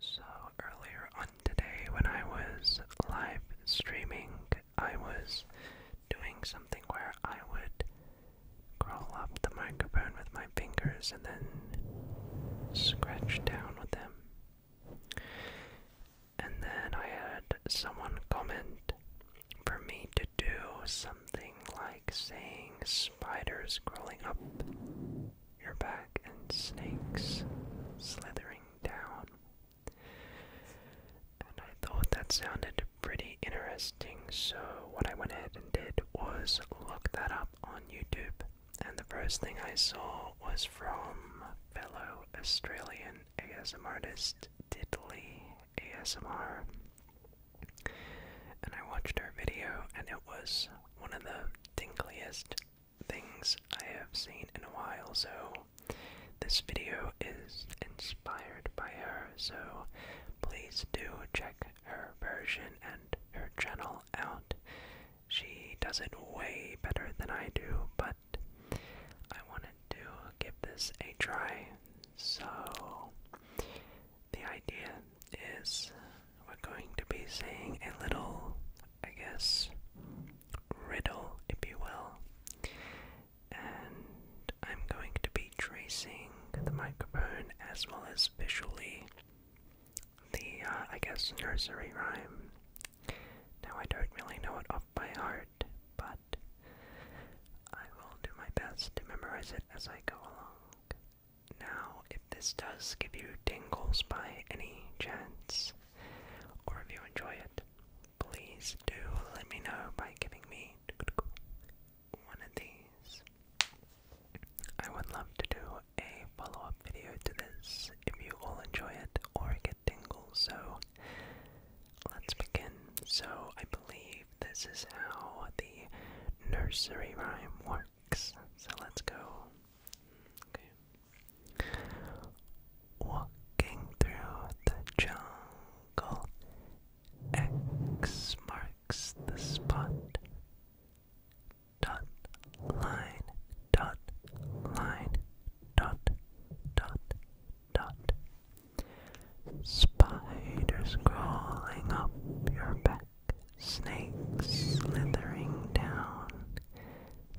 So, earlier on today, when I was live streaming, I was doing something where I would crawl up the microphone with my fingers and then scratch down with them. And then I had someone comment for me to do something like saying spiders crawling up your back and snakes slithering down. And I thought that sounded pretty interesting, so what I went ahead and did was look that up on YouTube. And the first thing I saw was from fellow Australian ASM artist Diddley ASMR. And I watched her video, and it was one of the tingliest things I have seen in a while, so this video is inspired by her, so please do check her version and her channel out. She does it way better than I do, but I wanted to give this a try. So, the idea is we're going to be saying a little, I guess, riddle, if you will. And I'm going to be tracing the microphone as well as visually the, uh, I guess, nursery rhyme. Now, I don't really know it off by heart, but I will do my best to memorize it as I go along. Now, if this does give you tingles by any chance, or if you enjoy it, please do let me know by giving me one of these. I would love to do a follow up video to this if you all enjoy it or get tingles, so let's begin. So, I believe this is how the nursery rhyme works. So let's go. Walking through the jungle, X marks the spot. Dot line, dot line, dot, dot, dot. Spiders crawling up your back. Snakes slithering down,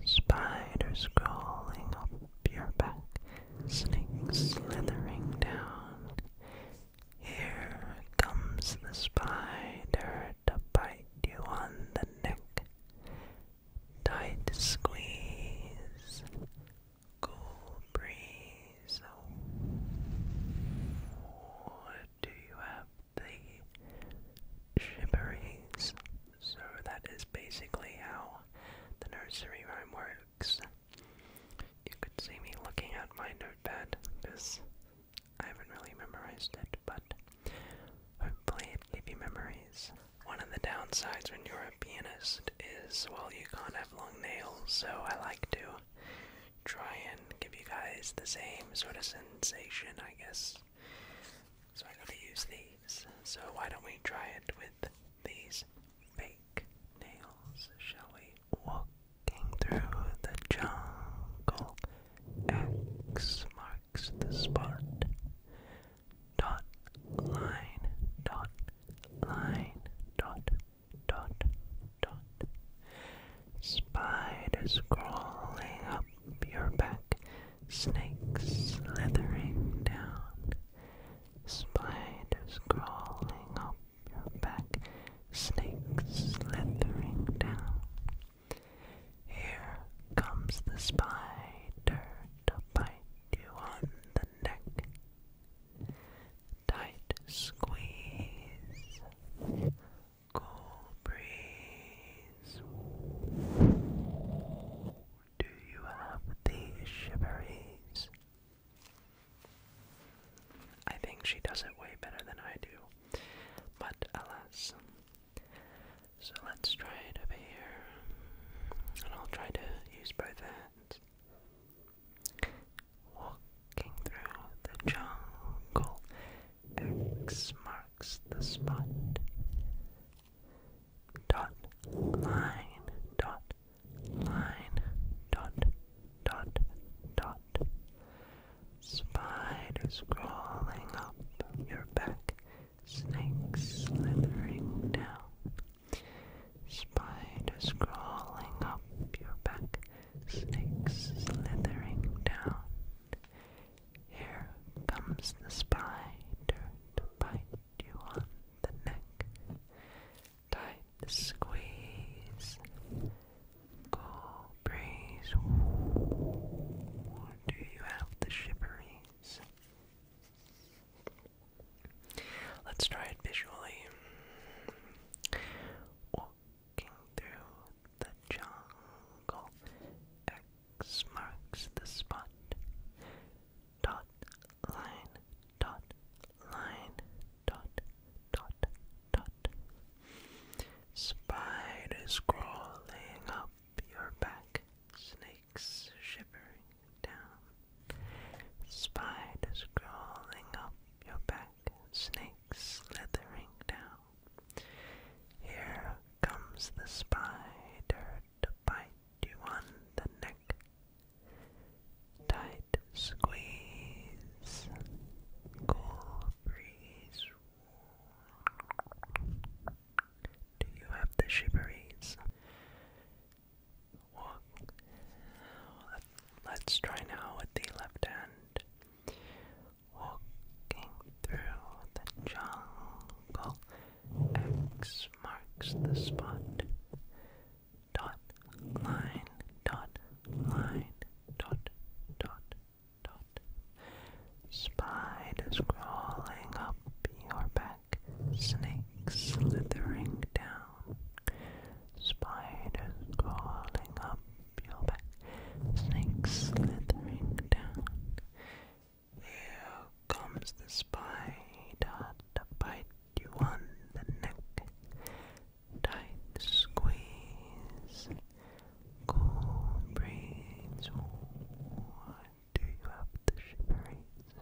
spiders crawling up your back, snakes slithering down. Here comes the spider to bite you on the neck. Tight squeeze, cool breeze. Oh, do you have the shibberings? So that is basically how the nursery rhyme works. You could see me looking at my notepad because I haven't really memorized it, but i it gave you memories. One of the downsides when you're a pianist is, well, you can't have long nails, so I like to try and give you guys the same sort of sensation, I guess, so I'm to use these. So why don't we try it with these fake nails, shall we? Walking through the jungle, X marks the spot. Dot, line, dot, line, dot, dot, dot. Spiders crawling up your back, snakes slithering down, spiders crawling up your back, snakes slithering down. Here comes the spider to bite you on the neck. Tight squeeze cool breeze? Do you have the shiveries? I think she does it way better than I do, but alas. So let's try it over here, and I'll try to use both hands. Walking through the jungle X marks the spot. Dot line dot line dot dot dot Spiders crawling up your back, snakes slithering down. Spiders crawling up your back, snakes slithering down. Here comes the spider to bite you on the neck. Tight squeeze, cool breeze. do you have the shiveries? Let's try it visually. Walking through the jungle, marks the spot. Dot line, dot line, dot, dot, dot. Spiders crawling up your back, snakes shivering down. Spiders crawling up your back, snakes slithering down. Here comes the spider to bite you on the neck. Tight squeeze, cool breeze. Do you have the shiveries? Walk. Let's try now with the left hand. Walking through the jungle. X marks the spot. Dot line, dot line, dot, dot, dot. Spiders crawling up your back, snakes slithering down. Spiders crawling up your back, snakes slithering down. Here comes the spider to bite you on the neck. Tight squeeze, cool breeze. do you have the shiveries? the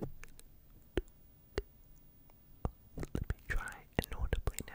spider. Let me try inaudibly now.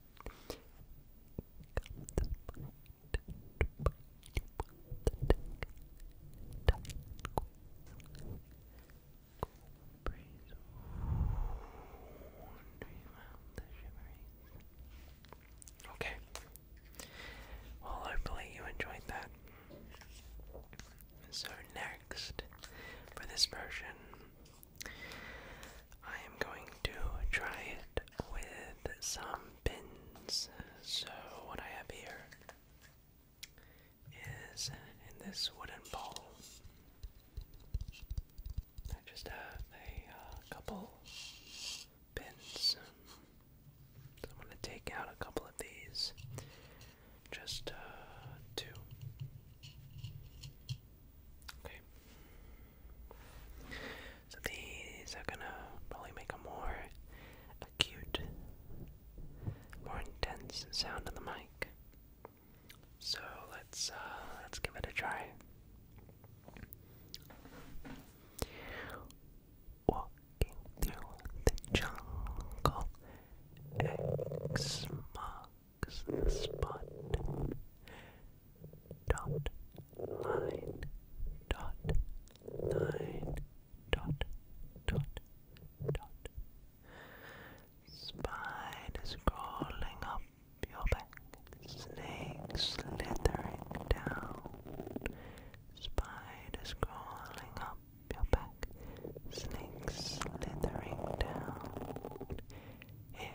Okay. Well, hopefully you enjoyed that. So next, for this version, I am going to try it with some pins. So, what I have here is in this wooden bowl. I just have a uh, couple pins. I'm going to take out a couple of these. Just uh, two. Okay. So these are gonna probably make a more acute, more intense sound on the mic. So let's uh, let's give it a try. Walking through the jungle, X marks box, spot, dot, line, dot, line, dot, dot, dot. Spiders crawling up your back, snakes slithering down. Spiders crawling up your back, snakes slithering down. Here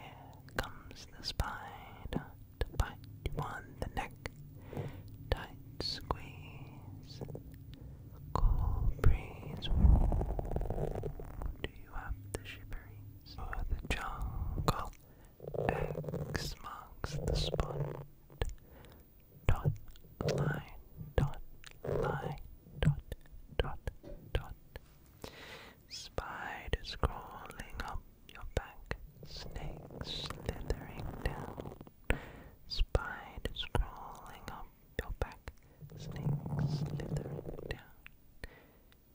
comes the spider to bite on the neck. Tight squeeze, cool breeze. Do you have the shiveries or the jungle? X marks the spot. Dot line, dot line, dot, dot, dot, Spiders crawling up your back, snakes slithering down. Spiders crawling up your back, snakes slithering down.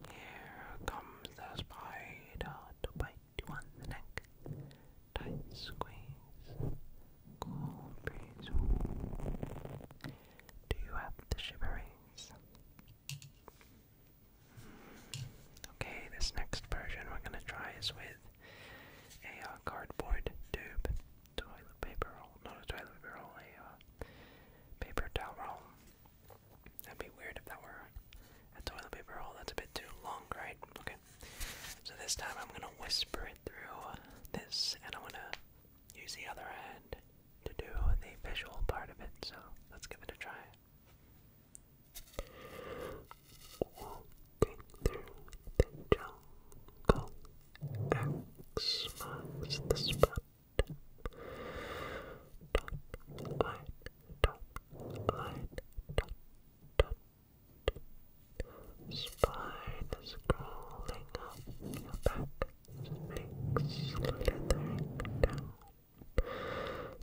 Here comes the spider to bite you on the neck. Tight squeeze, cool breeze. Do you have the shiveries? Okay, this next version we're going to try is with a uh, cardboard tube, toilet paper roll, not a toilet paper roll, a uh, paper towel roll. That'd be weird if that were a toilet paper roll, that's a bit too long, right? Okay, so this time I'm going to whisper it through this and I'm going to use the other hand to do the visual part of it, so let's give it a try. the jungle, X marks the spot. Top line, top line, top, top. up your back, snakes down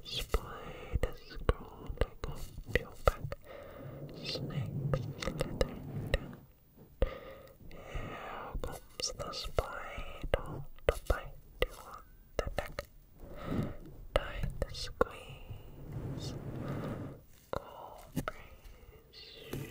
Spiders crawling on your back, snakes slithering down. comes the spider to bite you on the neck. Tight squeeze, cold breeze.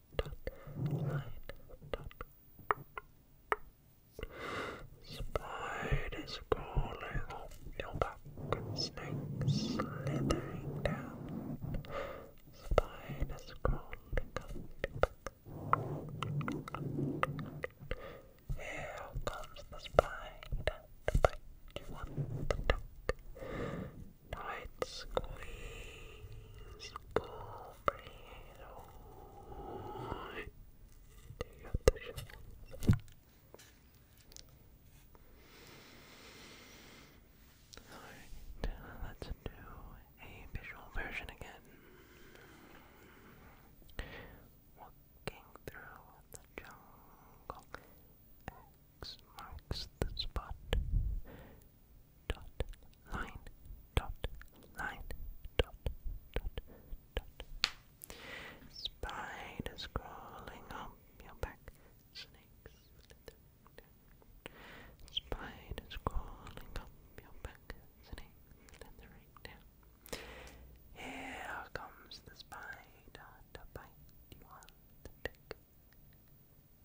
Spider line, crawling up your back, snakes slithering down. Spiders crawling up your back. Here comes the spider to you on the duck. Tight squeeze, cool Alright, let's do a visual version again. Walking through the jungle, X marks the spot dot line dot line dot dot dot spiders crawling up your back snakes spiders crawling up your back snakes here comes the spider to bite you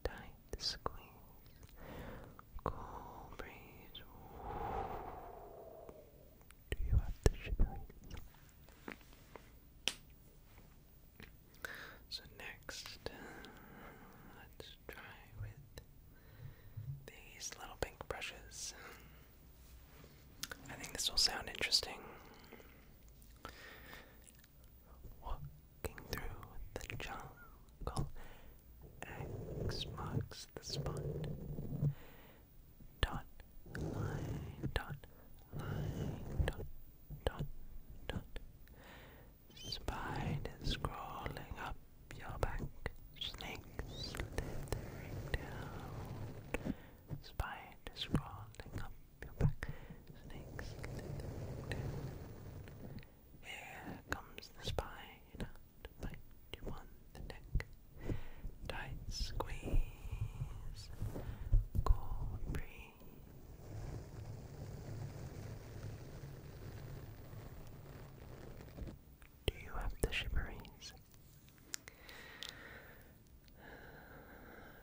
tight squeeze, cool breeze. Do you have the shivers? So next, uh, let's try with these little pink brushes. I think this will sound interesting. Walking through the jungle, X marks the spot. Dot, line, dot, line, dot, dot, dot. Spiders crawling up your back, snakes slithering down. Spiders crawling up your back, snakes slithering down. Here comes the spine out you on the neck. Tight squeeze, cold breeze. Do you have the shipperies?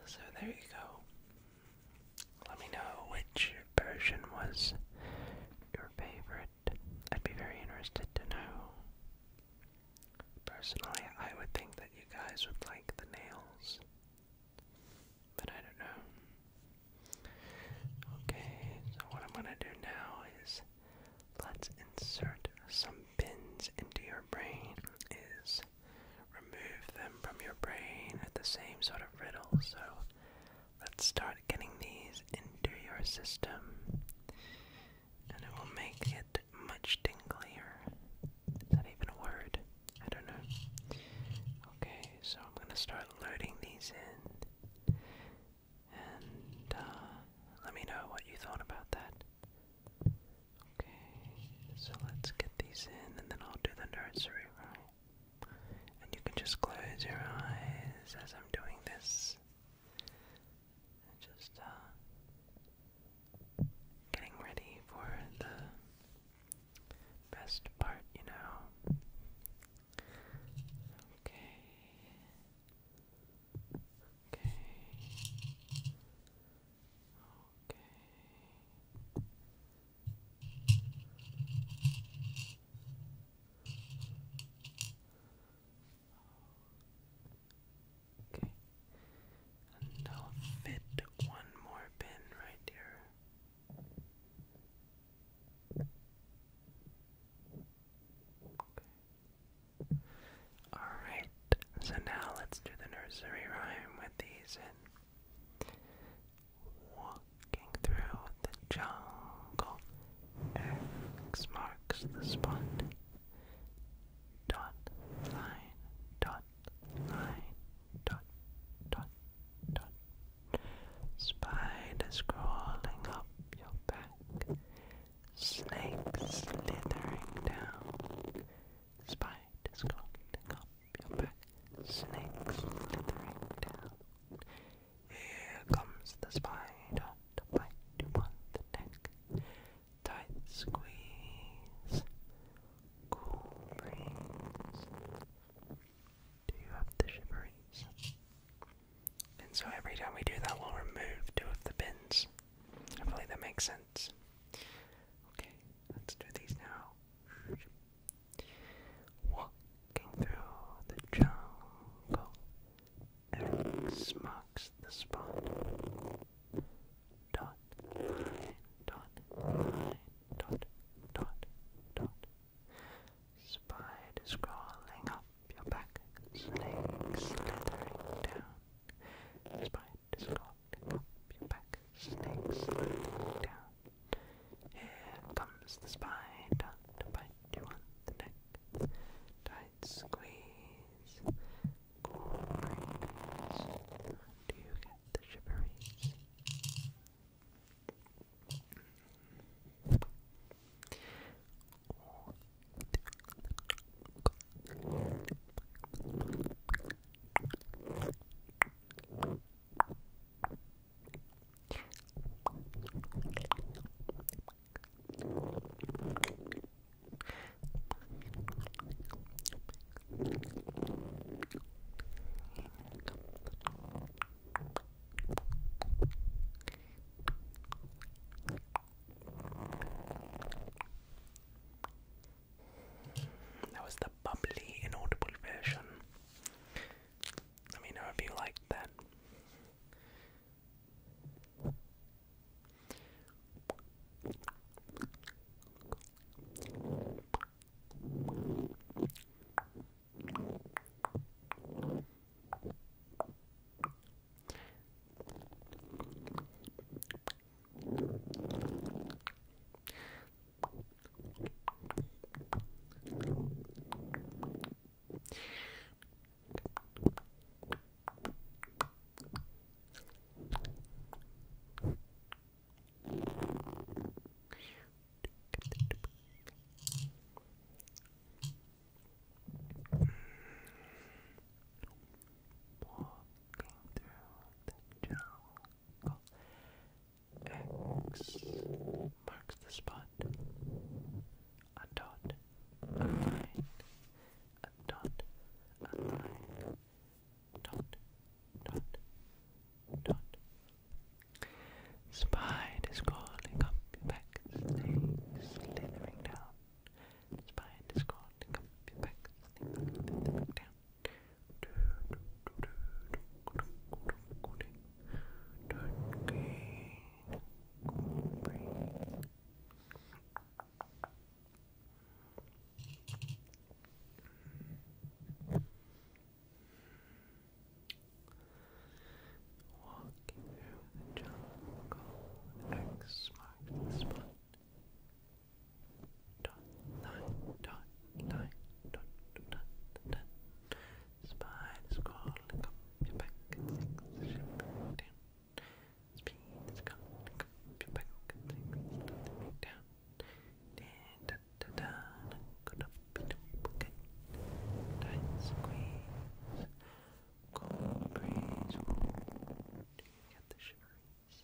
So there you go. Let me know which version was your favorite. I'd be very interested to know. Personally, I would think that you guys would like the nails. But I don't know. Okay, so what I'm gonna do now is let's insert some pins into your brain. Is remove them from your brain at the same sort of riddle. So Let's start getting these into your system, and it will make it much tinglier. Is that even a word? I don't know. Okay, so I'm gonna start loading these in, and uh, let me know what you thought about that. Okay, so let's get these in, and then I'll do the nursery rhyme. And you can just close your eyes as I'm doing this. just uh, getting ready for the best part, you know. Okay. Okay. Okay. Okay. I'll fit one more pin right here. Okay. Alright, so now let's do the nursery rhyme with these in. Walking through the jungle, X marks the spot. Dot line, dot line, dot, dot, dot. Spiders crawling up your back, snakes slithering down. Spiders crawling up your back, snakes slithering down. Here comes the spider to bite you on the neck. Tight squeeze. Cool breeze. Do you have the shiveries? And so every time we do that, we'll remove two of the pins. Hopefully that makes sense. Okay, let's do these now. Walking through the jungle, Eric's marks the spot. Dot, line, dot, line, dot, dot, dot. Spiders crawling up your back, snakes slithering down. Spiders crawling up your back, snakes slithering down. Here comes the spider to you want the neck. Tight squeeze. Do you get the shiveries? That was the bubbly inaudible version. Let me know if you like that. Walking through the jungle. X marks the spot a dot, a line, a dot, a line, dot, dot, dot. Spiders crawling up your back, slithering down. Spiders crawling up your back, slithering down. Turkey, cool breeze. Walking through the jungle, X marks the spot. Dot, line, dot, line, dot, dot, Spine is crawling up your back and sinks the ship down. Speed crawling up your back and sinks the down. Da da da da, good up and okay. Tight squeeze, cold breeze. do you get the shiveries?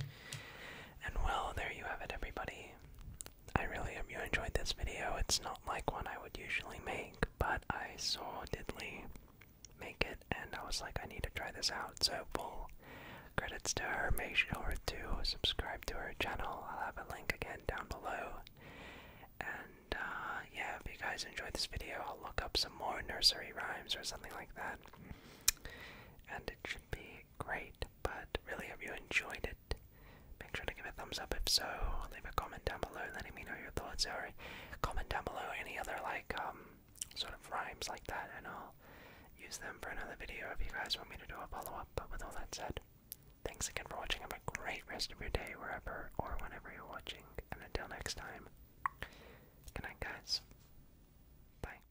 And well, there you have it, everybody. I really hope you enjoyed this video. It's not like one I would usually make, but I saw Diddley make it, and I was like, I need to try this out. So, full credits to her. Make sure to subscribe to her channel. I'll have a link again down below. And uh, yeah, if you guys enjoyed this video, I'll look up some more nursery rhymes or something like that. And it should be great, but really have you enjoyed it. Make sure to give it a thumbs up if so. Leave a comment down below letting me know your thoughts or comment down below any other like um sort of rhymes like that and I'll use them for another video if you guys want me to do a follow-up. But with all that said, thanks again for watching. Have a great rest of your day wherever or whenever you're watching. And until next time, good night guys. Bye.